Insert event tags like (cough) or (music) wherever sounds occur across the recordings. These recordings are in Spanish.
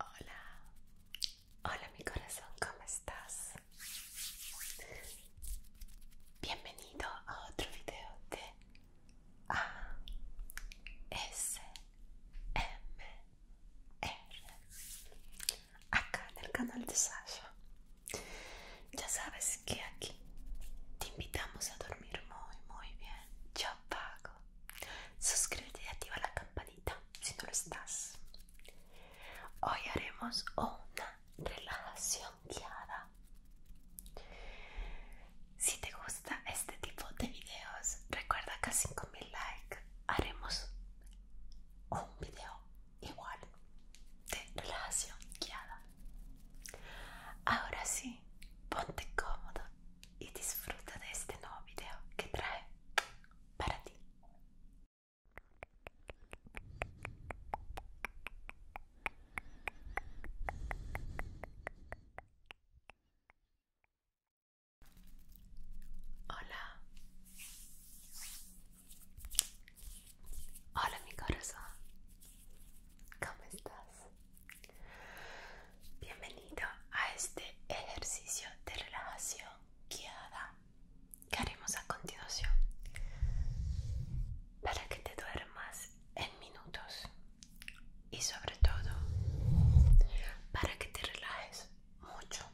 Hola, hola mi corazón, ¿cómo estás? Bienvenido a otro video de R. acá en el canal de Sasha. Ya sabes que aquí te invitamos a dormir muy muy bien. Yo pago Suscríbete y activa la campanita si no lo estás. Hoy haremos una relajación guiada. Si te gusta este tipo de videos, recuerda que a 5000 likes haremos un video igual de relajación guiada. Ahora sí, ponte cómodo y disfruta de este nuevo video que trae para ti. Hola. Hola mi corazón. ¿Cómo estás? Bienvenido a este ejercicio de relajación guiada que haremos a continuación para que te duermas en minutos y sobre todo para que te relajes mucho.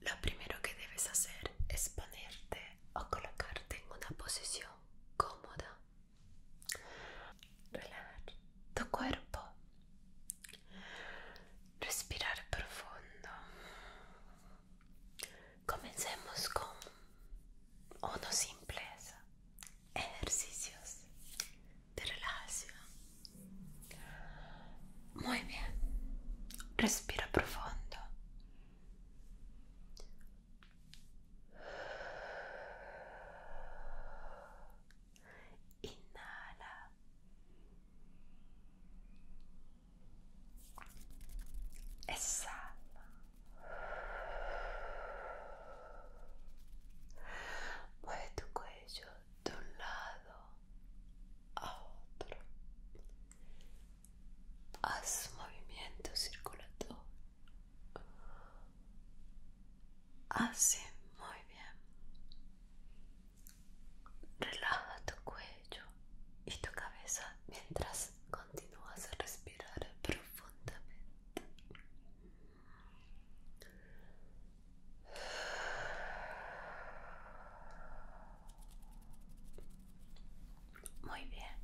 Lo primero que debes hacer es ponerte o colocarte en una posición cómoda. Relajar tu cuerpo. Respirar profundo. Comencemos con una simpleza ejercicios de relajación. Muy bien. Respira profundo. Inhala. Exhala. Mueve tu cuello de un lado a otro. Haz movimiento circulatorio. Así, muy bien. Relaja tu cuello y tu cabeza mientras continúas a respirar profundamente. Muy bien.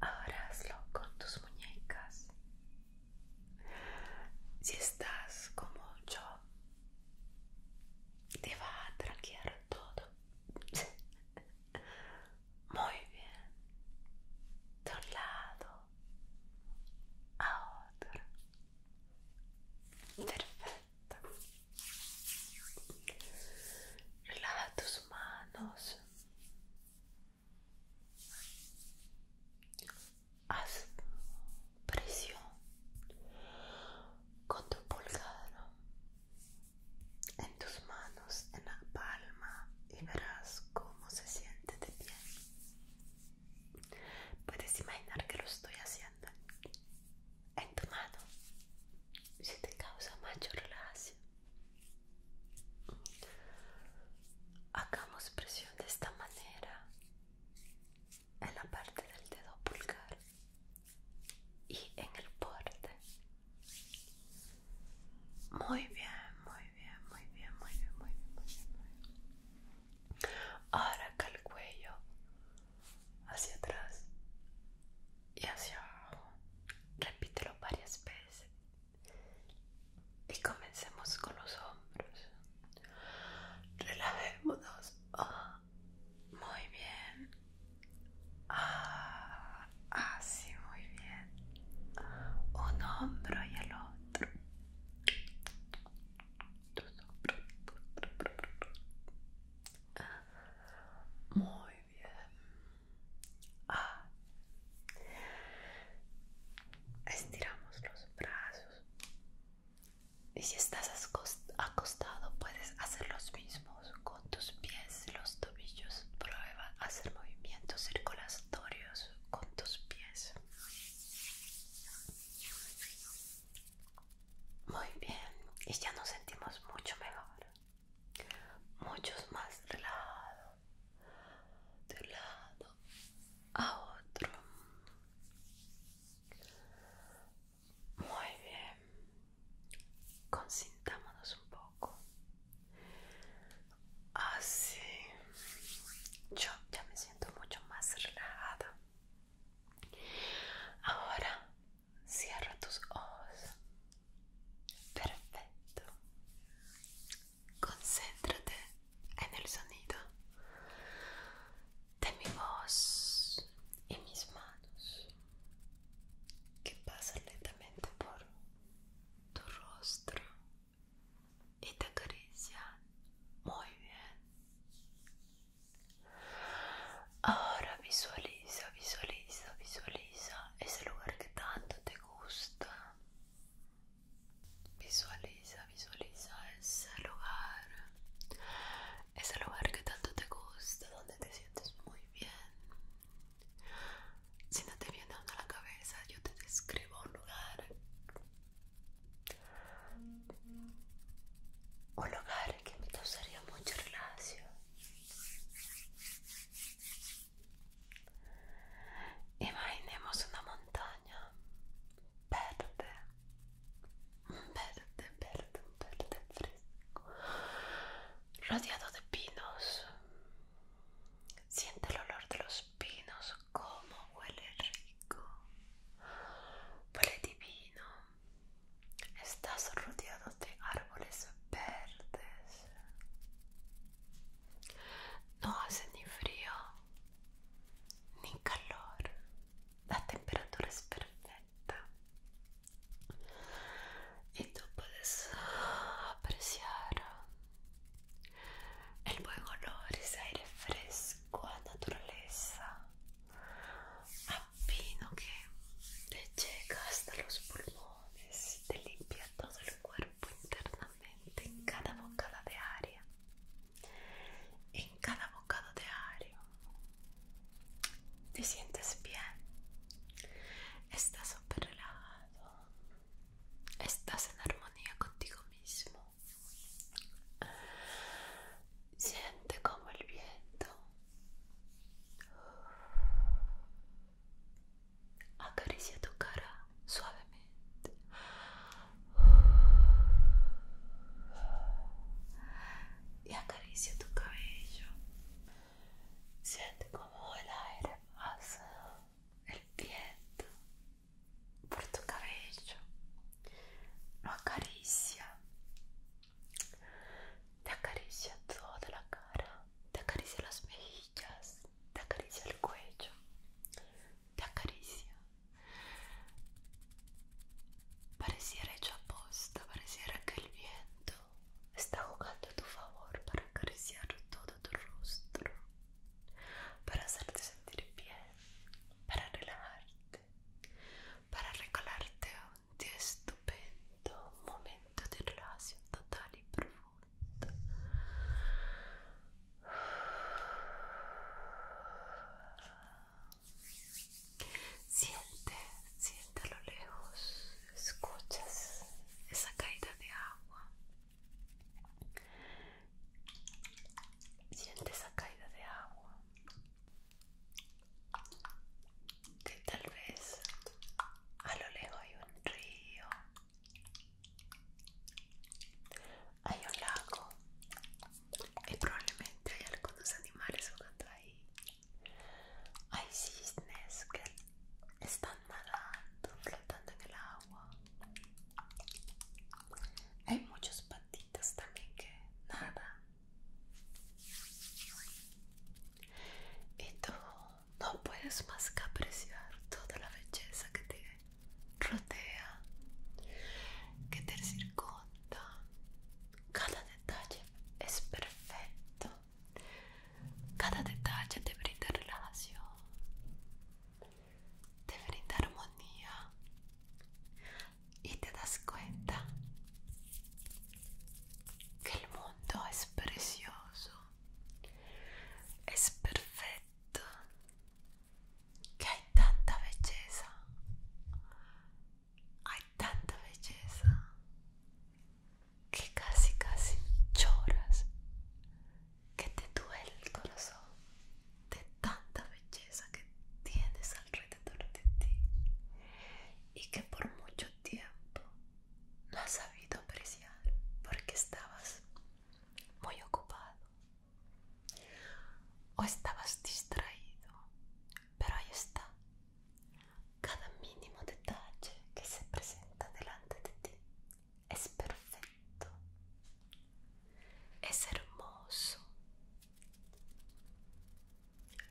Ahora hazlo con tus muñecas. Si estás como yo, te va a tranquilizar todo. (laughs) Muy bien. De un lado a otro. Perfecto. Relaja tus manos. Haz presión con tu pulgar en tus manos, en la palma y verás cómo se siente de bien. Puedes imaginar que lo estoy haciendo en tu mano si te causa mayor relajación. Hagamos presión de esta manera en la parte del dedo pulgar y en el porte Muy bien, muy bien, muy bien, muy bien, muy bien, muy bien. Ahora acá el cuello hacia atrás y hacia abajo. Repítelo varias veces. Y comencemos con los hombros. Relajémonos. Ah muy bien. Ah, así, ah, muy bien. Un hombro y el otro. Muy bien. Ah. Estiramos los brazos y si estás acostado, puedes hacer los mismos con tus pies, los tobillos. Prueba hacer movimientos circulatorios con tus pies. Muy bien, y ya nos sentimos mucho mejor, muchos más lado de lado a otro. Muy bien. Consintámonos un poco. Así. Ah, Yo ya me siento mucho más relajada. Ahora cierra tus ojos. Perfecto. Concéntrate en el sonido de mi voz y mis manos que pasan lentamente por tu rostro y te acarician muy bien. Ahora visualiza, visualiza, visualiza ese lugar que tanto te gusta. Visualiza, visualiza ese lugar ese lugar que tanto te gusta, donde te sientes muy bien. Si no te viene a la cabeza, yo te describo un lugar. Un lugar que me gustaría mucho relación. Imaginemos una montaña verde verde, verde, verde fresco, rodeado de pinos. Siente el olor de los pinos, como huele rico, huele divino. Estás rodeado de árboles verdes. No hace ni frío ni calor la temperatura es perfecta y tú puedes apreciar el buen olor, ese aire fresco la naturaleza, a vino que te llega hasta los pulmones y te limpia todo el cuerpo internamente en cada bocada de área. En cada bocado diario te sientes bien, estás súper relajado, estás en armonía contigo mismo. Siente como el viento acaricia tu cara suavemente y acaricia tu cabello. Siente como el aire pasa, el viento por tu cabello. Lo acaricia. Te acaricia toda la cara, te acaricia las mejillas, te acaricia el cuello, te acaricia. Pareciera hecho aposta, pareciera que el viento está jugando a tu favor para acariciar todo tu rostro, para hacerte sentir bien, para relajarte, para regalarte un estupendo, momento de relación total y profundo Siente, siente a lo lejos, escuchas esa caída de agua. Siente esa caída de agua que tal vez a lo lejos hay un río hay un lago y probablemente hay algunos animales jugando ahí. Hay cisnes que están nadando, flotando en el agua. Hay muchos patitas también que nadan. Y tú no puedes más que apreciar toda la belleza que tiene rodea, que te circunda. Cada detalle es perfecto. Cada detalle te brinda relajación, te brinda armonía y te das cuenta que el mundo es precioso, es perfecto que hay tanta belleza, hay tanta belleza que casi casi lloras, que te duele el corazón de tanta belleza que tienes alrededor de ti y que por mucho tiempo no has sabido apreciar porque estabas muy ocupado o estabas distraído, pero ahí está. Cada mínimo detalle que se presenta delante de ti es perfecto. Es hermoso.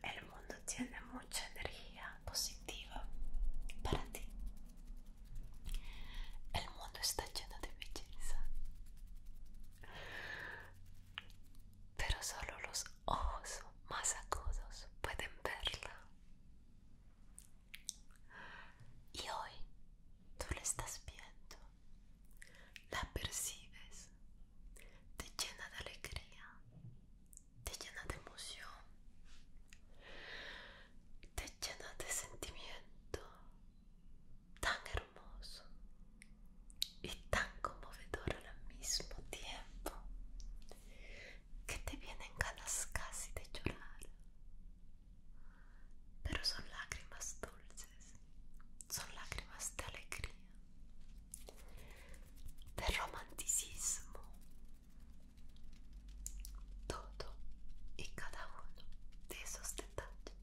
El mundo tiene mucha energía positiva para ti. El mundo está lleno de belleza, pero solo los ojos más agudos pueden verla. Y hoy tú la estás viendo, la percibes, te llena de alegría, te llena de emoción, te llena de sentimiento tan hermoso y tan conmovedor al mismo tiempo que te vienen ganas casi de llorar pero son lágrimas dulces son lágrimas de alegría de romanticismo todo y cada uno de esos detalles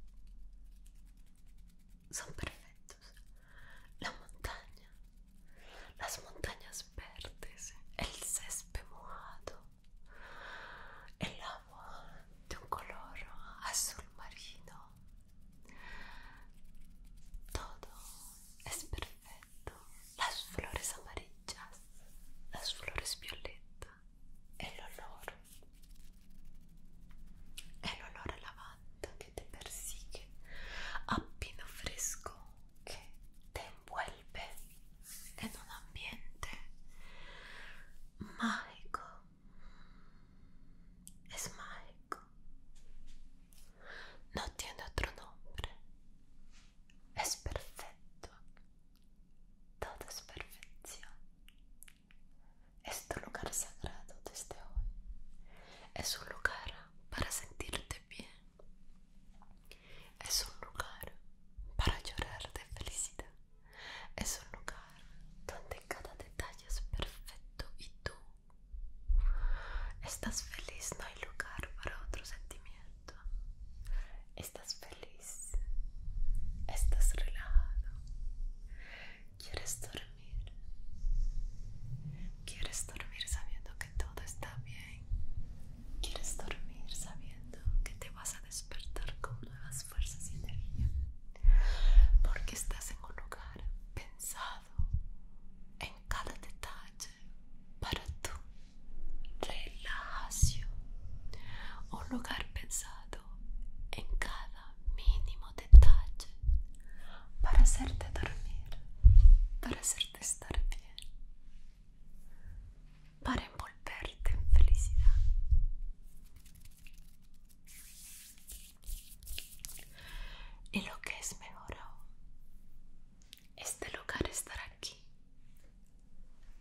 son perfectos. La montaña, las montañas verdes, el césped mojado, el agua de un color azul marino. Todo es perfecto las flores amarillas, las flores violetas, el olor, el olor a lavanda que te persigue, a pino fresco que te envuelve en un ambiente mágico, es mágico, no tiene otro nombre es perfecto, todo es perfección. Es tu lugar sagrado desde hoy. Es un lugar para sentirte bien. Es un lugar para llorar de felicidad. Es un lugar donde cada detalle es perfecto y tú estás feliz. No hay lugar para otro sentimiento estás feliz, estás relajado, quieres dormir, quieres dormir sabiendo que todo está bien, quieres dormir sabiendo que te vas a despertar con nuevas fuerzas y energía, porque estás en un lugar pensado en cada detalle para tú relajación, un lugar pensado en cada mínimo detalle para hacerte dormir, para hacerte estar bien, para envolverte en felicidad. Y lo que es mejor este lugar estará aquí,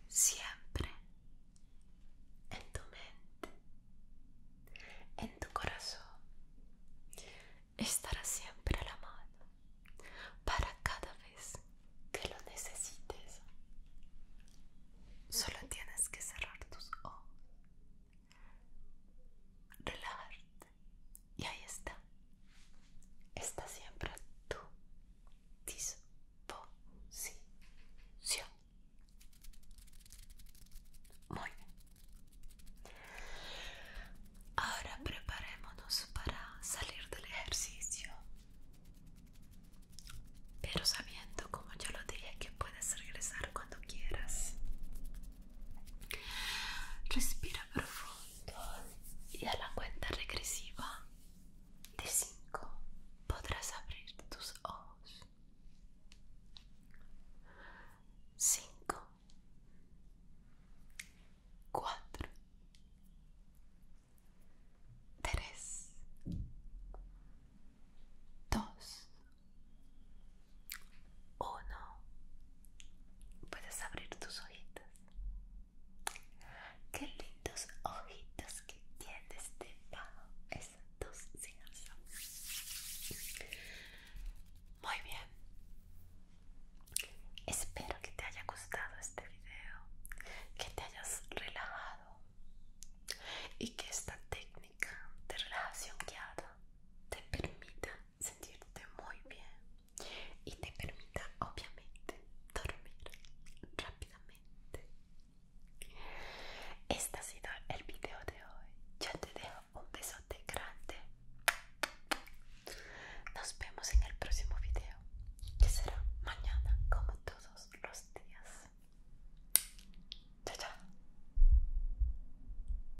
siempre, en tu mente, en tu corazón. Estará siempre a la mano para cada vez que lo necesites. Solo tienes que cerrar tus ojos, relajarte y ahí está. Está siempre a tu disposición. Muy bien. Ahora preparémonos para salir del ejercicio. Pero sabiendo, como yo lo dije, que puedes regresar cuando quieras. Respira profundo y a la cuenta regresiva de 5 podrás abrir tus ojos. 5 4 3 2 o no puedes abrir tus ojitos. Qué lindos ojitos que tienes debajo esas dos Muy bien. Espero que te haya gustado este video, que te hayas relajado y que esta técnica de relajación guiada te permita sentirte muy bien y te permita obviamente dormir rápidamente. Este ha sido el video de hoy. Ya te dejo un besote grande. Nos vemos en el próximo video, que será mañana como todos los días. Chao, chao.